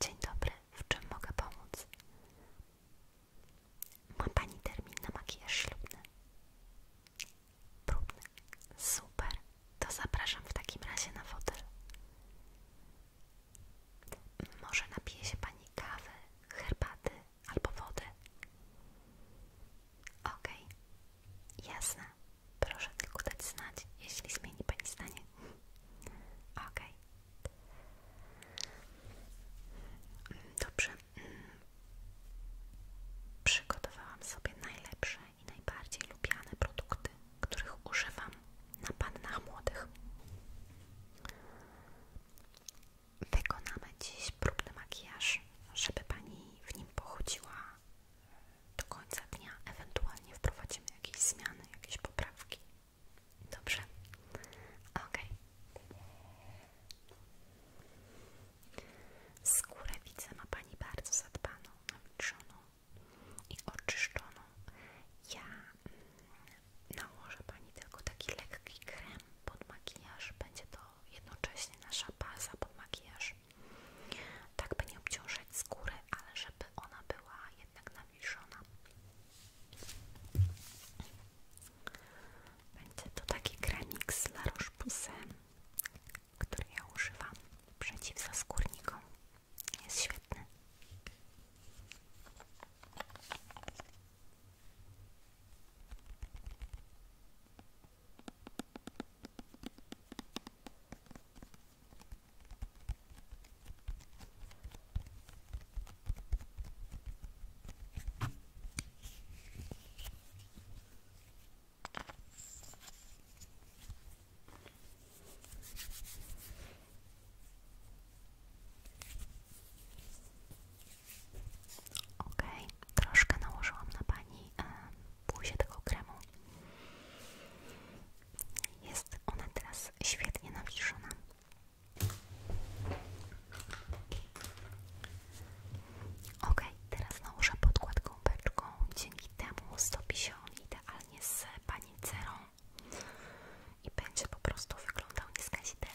Dzień dobry, w czym mogę pomóc? Ma Pani termin na makijaż ślubny? Próbny. Super, to zapraszam w takim razie na fotel. Może napije się Pani kawy, herbaty albo wody? Okej, jasne. Proszę tylko dać znać, jeśli zmieni Pani zdanie. Ok. Dobrze. Przygotowałam sobie najlepsze i najbardziej lubiane produkty, których używam na pannach młodych. Wykonamy dziś próbny makijaż, żeby Pani w nim pochodziła do końca dnia ewentualnie wprowadzimy jakieś zmiany, jakieś poprawki. Dobrze? Ok. Skórę widzę ma Pani bardzo zadbaną, nawilżoną i oczyszczoną. Ja mm, nałożę Pani tylko taki lekki krem pod makijaż. Będzie to jednocześnie nasza baza pod makijaż. Tak by nie obciążać skórę ale żeby ona była jednak nawilżona. Będzie to taki kremik z La który ja używam przeciw zaskórnikom. Jest świetny. Ok, troszkę nałożyłam na pani buzię tego kremu. Jest ona teraz świetnie nawilżona. Ok, teraz nałożę podkład gąbeczką. Dzięki temu stopi się on idealnie z panicerą i będzie po prostu wyglądał nieskazitelnie.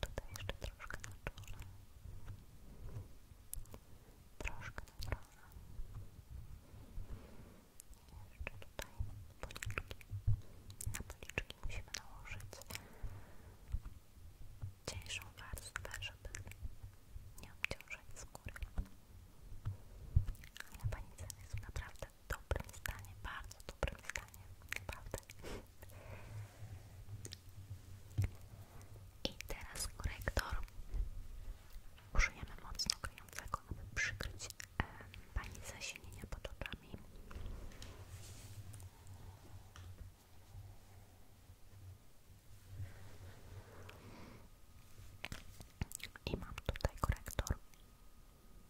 Tutaj jeszcze troszkę na czole. Troszkę na czole. Jeszcze tutaj policzki. Na policzki musimy nałożyć cieńszą warstwę, żeby nie obciążać skóry. Ale panicem jest naprawdę dobrym stanie, bardzo dobrym stanie, naprawdę. I teraz korektor. Użyjemy mocno kryjącego, aby przykryć e, zasilenia zasinienie pod oczami. I mam tutaj korektor.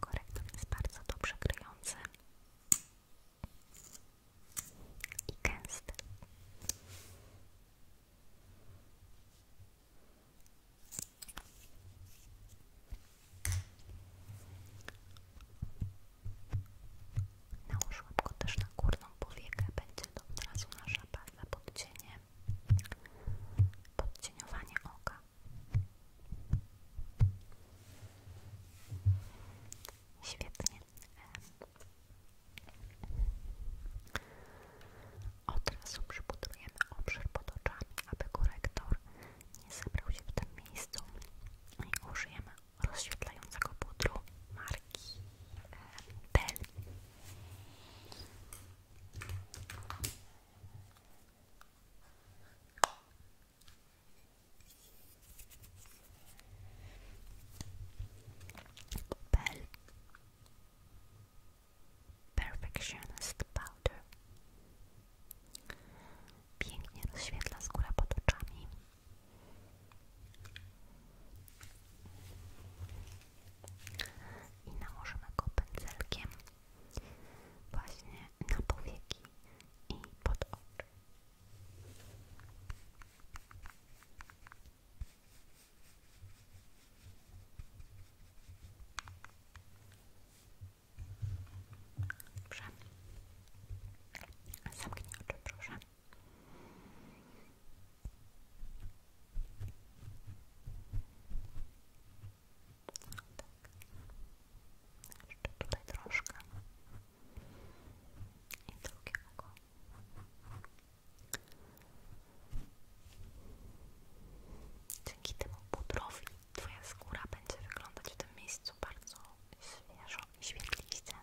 Korektor jest bardzo dobrze kryjący i gęsty. Nałóż łapko też na górną powiekę, będzie to od razu nasza baza pod cieniem podcieniowanie oka. Świetnie. Od razu przybudujemy obszar pod oczami, aby korektor nie zebrał się w tym miejscu i użyjemy rozświetlającego pudru marki Bell. E, Bell Perfectionist Powder Pięknie rozświetla skórę pod oczami i nałożymy go pędzelkiem właśnie na powieki i pod oczy. Dobrze. Zamknij oczy, tak. tutaj troszkę. Dzięki temu pudrowi Twoja skóra będzie wyglądać w tym miejscu bardzo świeżo i świetliście.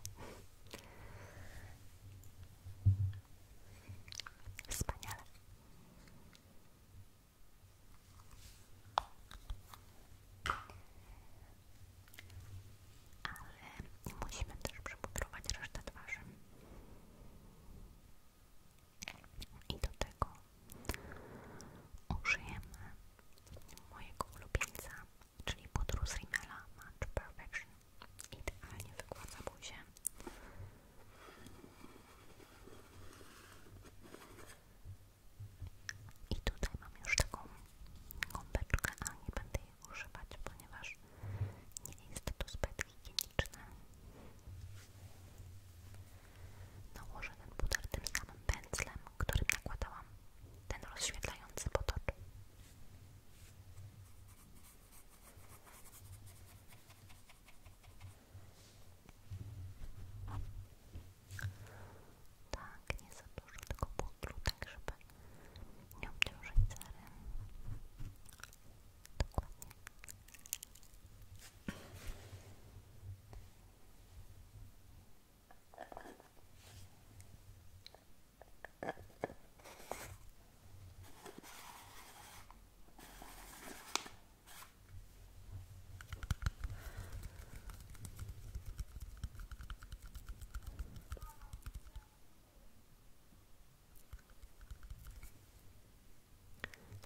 Ale musimy też przepudrować resztę twarzy. I do tego użyjemy mojego ulubieńca, czyli pudru z Match Perfection idealnie wygładza buzię. I tutaj mam już taką gąbeczkę, a nie będę jej używać, ponieważ nie jest to zbyt higieniczne. Nałożę ten puder tym samym pędzlem, którym nakładałam ten rozświetlający potok. Tak, nie za dużo tego pudru, tak żeby nie obciążyć cery. Dokładnie.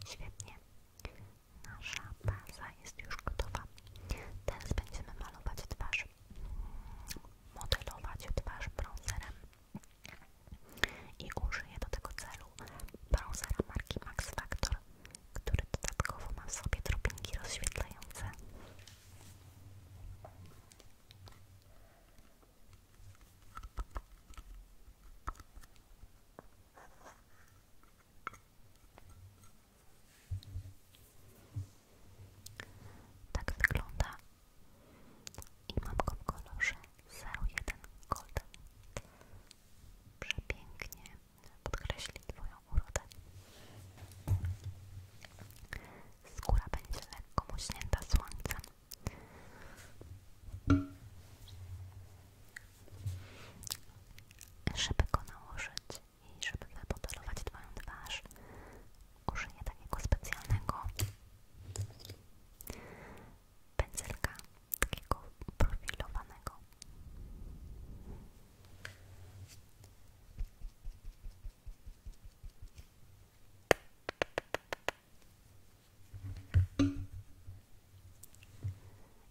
Świetnie. Nasza baza jest już gotowa. Teraz będziemy malować twarz. Modelować twarz brązerem i użyję do tego celu brązera marki Max Factor, który dodatkowo ma w sobie rozświetlające. Tak wygląda i mam go w kolorze 01 Golden. Przepięknie podkreśli Twoją urodę. Skóra będzie lekko muśnięta słońcem. Żeby go nałożyć i żeby wymodelować Twoją twarz, użyję takiego specjalnego pędzelka, takiego profilowanego.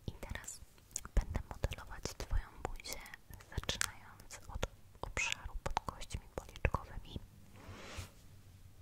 I teraz będę modelować Twoją buzię, zaczynając od obszaru pod kośćmi policzkowymi.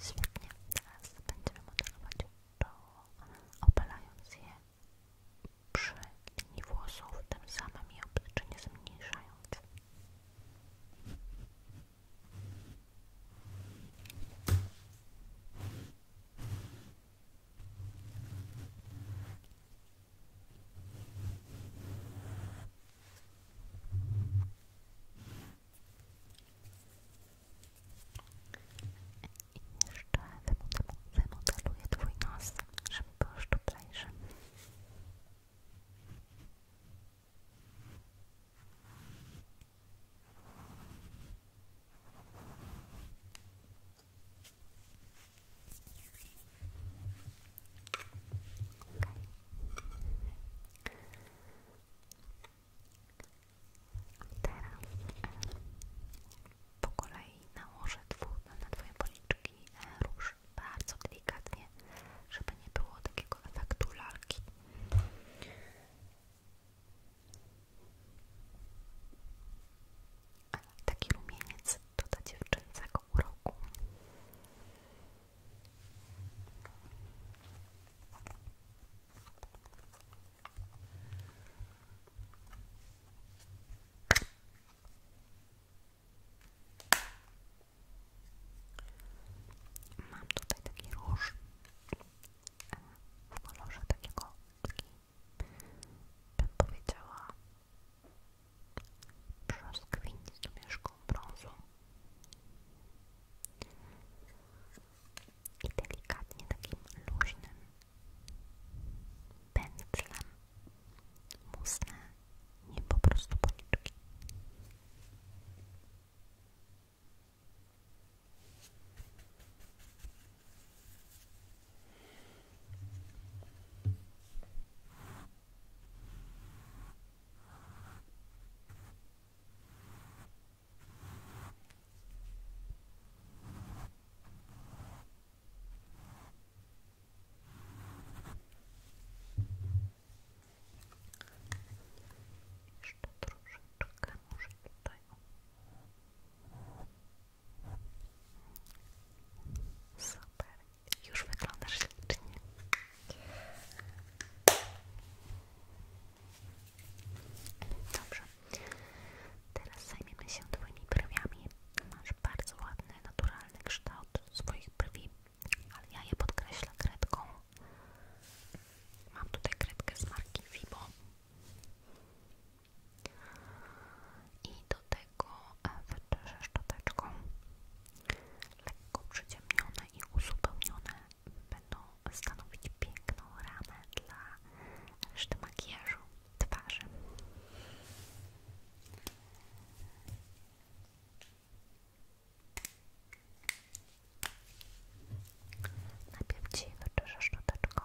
Świetnie, teraz będziemy modelować to opalając je przy linii włosów, tym samym i oblicznie zmniejszając. I jeszcze wymodeluję twój nos, żeby był szczuplejszy. Teraz e, po kolei nałożę na, na Twoje policzki e, róż bardzo delikatnie, żeby nie było takiego efektu lalki ani taki rumieniec doda dziewczęcego uroku. Mam tutaj taki róż e, w kolorze takiego, Brzoskwiń z domieszką brązu i delikatnie takim luźnym pędzlem musnę nie po prostu policzki. Jeszcze troszeczkę może tutaj. O. Super, już wyglądasz ślicznie. Dobrze, teraz zajmiemy się Twoimi brwiami. Masz bardzo ładny, naturalny kształt swoich brwi, ale ja je podkreślę kredką. Mam tutaj kredkę z marki Vibo i do tego e, wytrzeszę szczoteczką lekko przyciemnione i uzupełnione będą stanowić piękną ramę dla reszty makijażu twarzy Najpierw Ci wytrzeszę szczoteczką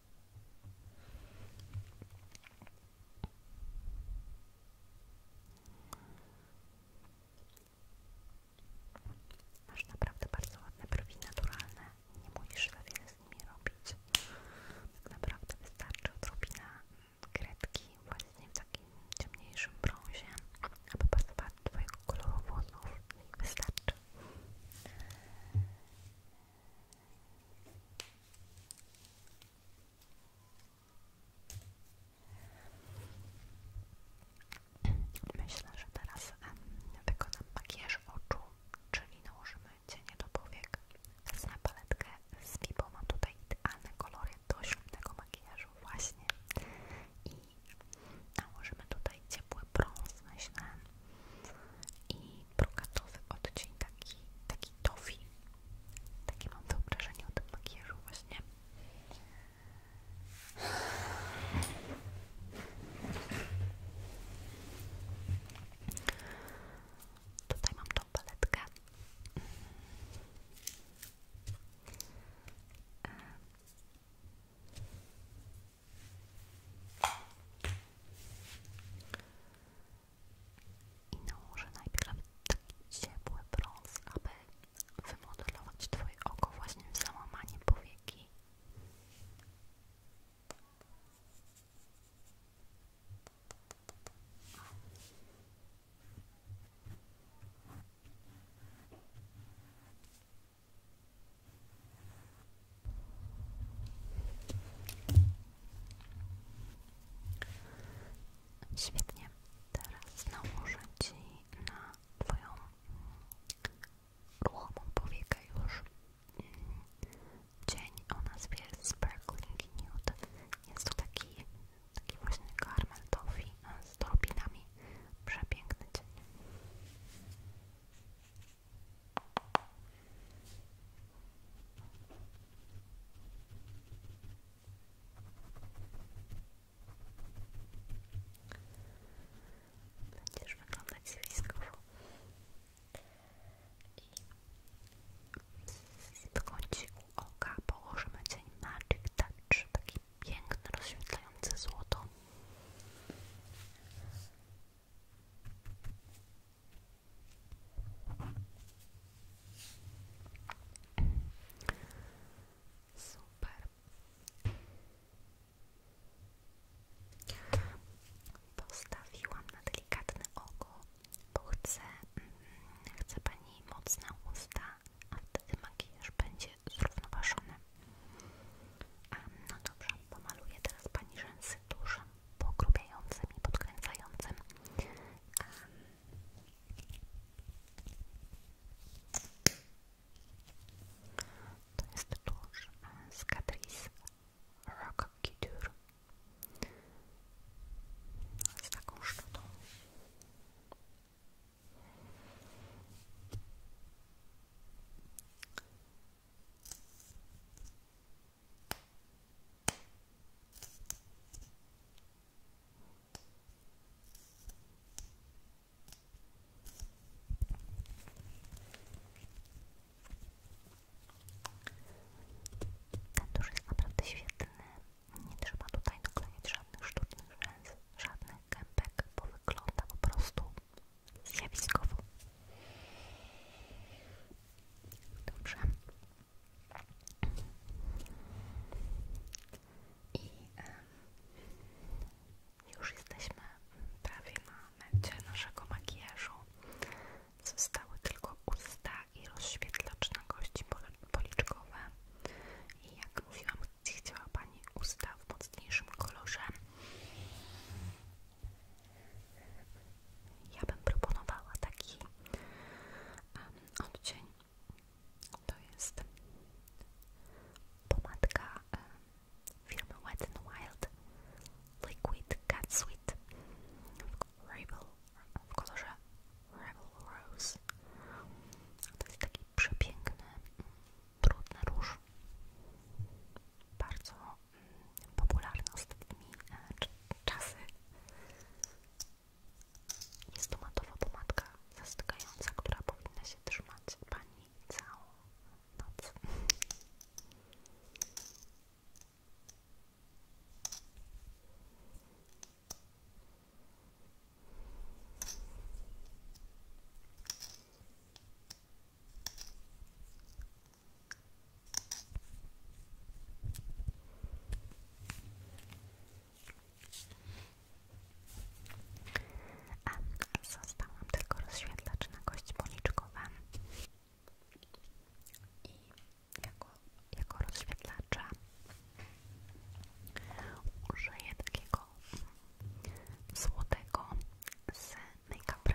Masz naprawdę bardzo ładne brwi naturalne. Nie musisz za wiele z nimi robić. Tak naprawdę wystarczy odrobina mm, kredki właśnie w takim ciemniejszym brązie, aby pasować do Twojego koloru włosów. Wystarczy. Myślę, że teraz wykonam makijaż oczu, czyli nałożymy cienie do powiek. Wezmę paletkę z Bibo, mam tutaj idealne kolory do ślubnego makijażu właśnie. I nałożymy tutaj ciepły brąz, myślę. I brokatowy odcień, taki, taki tofi. Takie mam wyobrażenie o tym To właśnie. mam tą i nałożę no, najpierw taki ciepły brąz, aby wymodelować Twoje oko właśnie w załamanie powieki. Świetnie. Teraz nałożę Ci na Twoją mm, ruchomą powiekę już cień o nazwie Sparkling Nude. Jest to taki, taki właśnie karmel toffee z drobinami. Przepiękny cień. Będziesz wyglądać zjawiskowo i w kąciku oka położymy cień Magic Touch, taki piękny, rozświetlający złoto. Super. Postawiłam na delikatne oko, bo chcę, mm, chcę Pani mocne usta, a wtedy makijaż będzie zrównoważony. A No dobrze, pomaluję teraz Pani rzęsy dużo pogrubiającym i podkręcającym. To jest tusz z Catrice z taką szczotą. Ten tusz jest naprawdę świetne. Nie trzeba tutaj doklejać żadnych sztucznych rzęs, żadnych gębek, bo wygląda po prostu zjawiskową. Dobrze. I już jesteśmy prawie na mecie naszego makijażu. Zostały tylko usta i rozświetlacz na kości policzkowe. I jak mówiłam, chciała Pani usta w mocniejszym kolorze. Ja bym proponowała taki odcień. To jest pomadka firmy Wet n Wild Liquid Cat Sweet w, Rebel, w kolorze Rebel Rose. To jest taki przepiękny, mm, brudny róż. Bardzo popularne ostatnimi e, czasy. Jest to matowa pomadka zastygająca, która powinna się trzymać Pani całą noc. Zostałam tylko rozświetlacz na kości policzkowe i jako, jako rozświetlacza użyję takiego złotego Makeup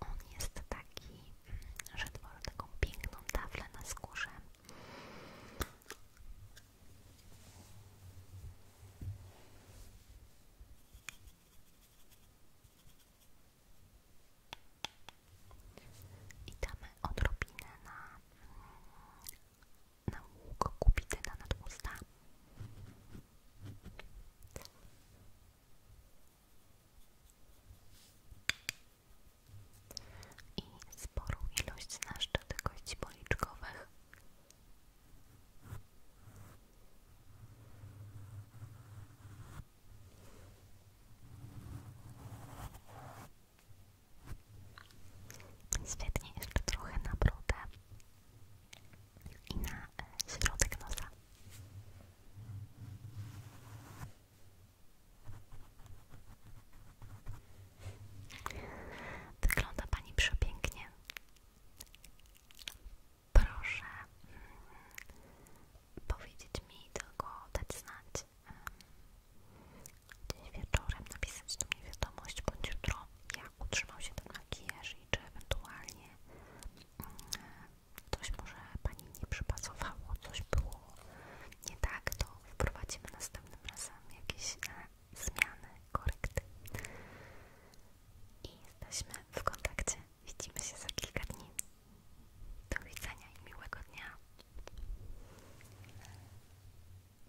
On jest taki, mm, że tworzy taką piękną taflę na skórze. I damy odrobinę na mm, na łuk kupityna nad I sporą ilość naszczetek kości policzkowych. Świetnie, jeszcze trochę na brudę i na e, środek nosa. Wygląda Pani przepięknie. Proszę mm, powiedzieć mi, tylko dać znać, dziś wieczorem napisać do mnie wiadomość, bądź jutro, jak utrzymał się ten makijaż i czy ewentualnie mm, coś może Pani nie przypasowało, coś było nie tak, to wprowadzimy następnym razem jakieś e, zmiany, korekty. I jesteśmy w kontakcie. Widzimy się za kilka dni. Do widzenia i miłego dnia.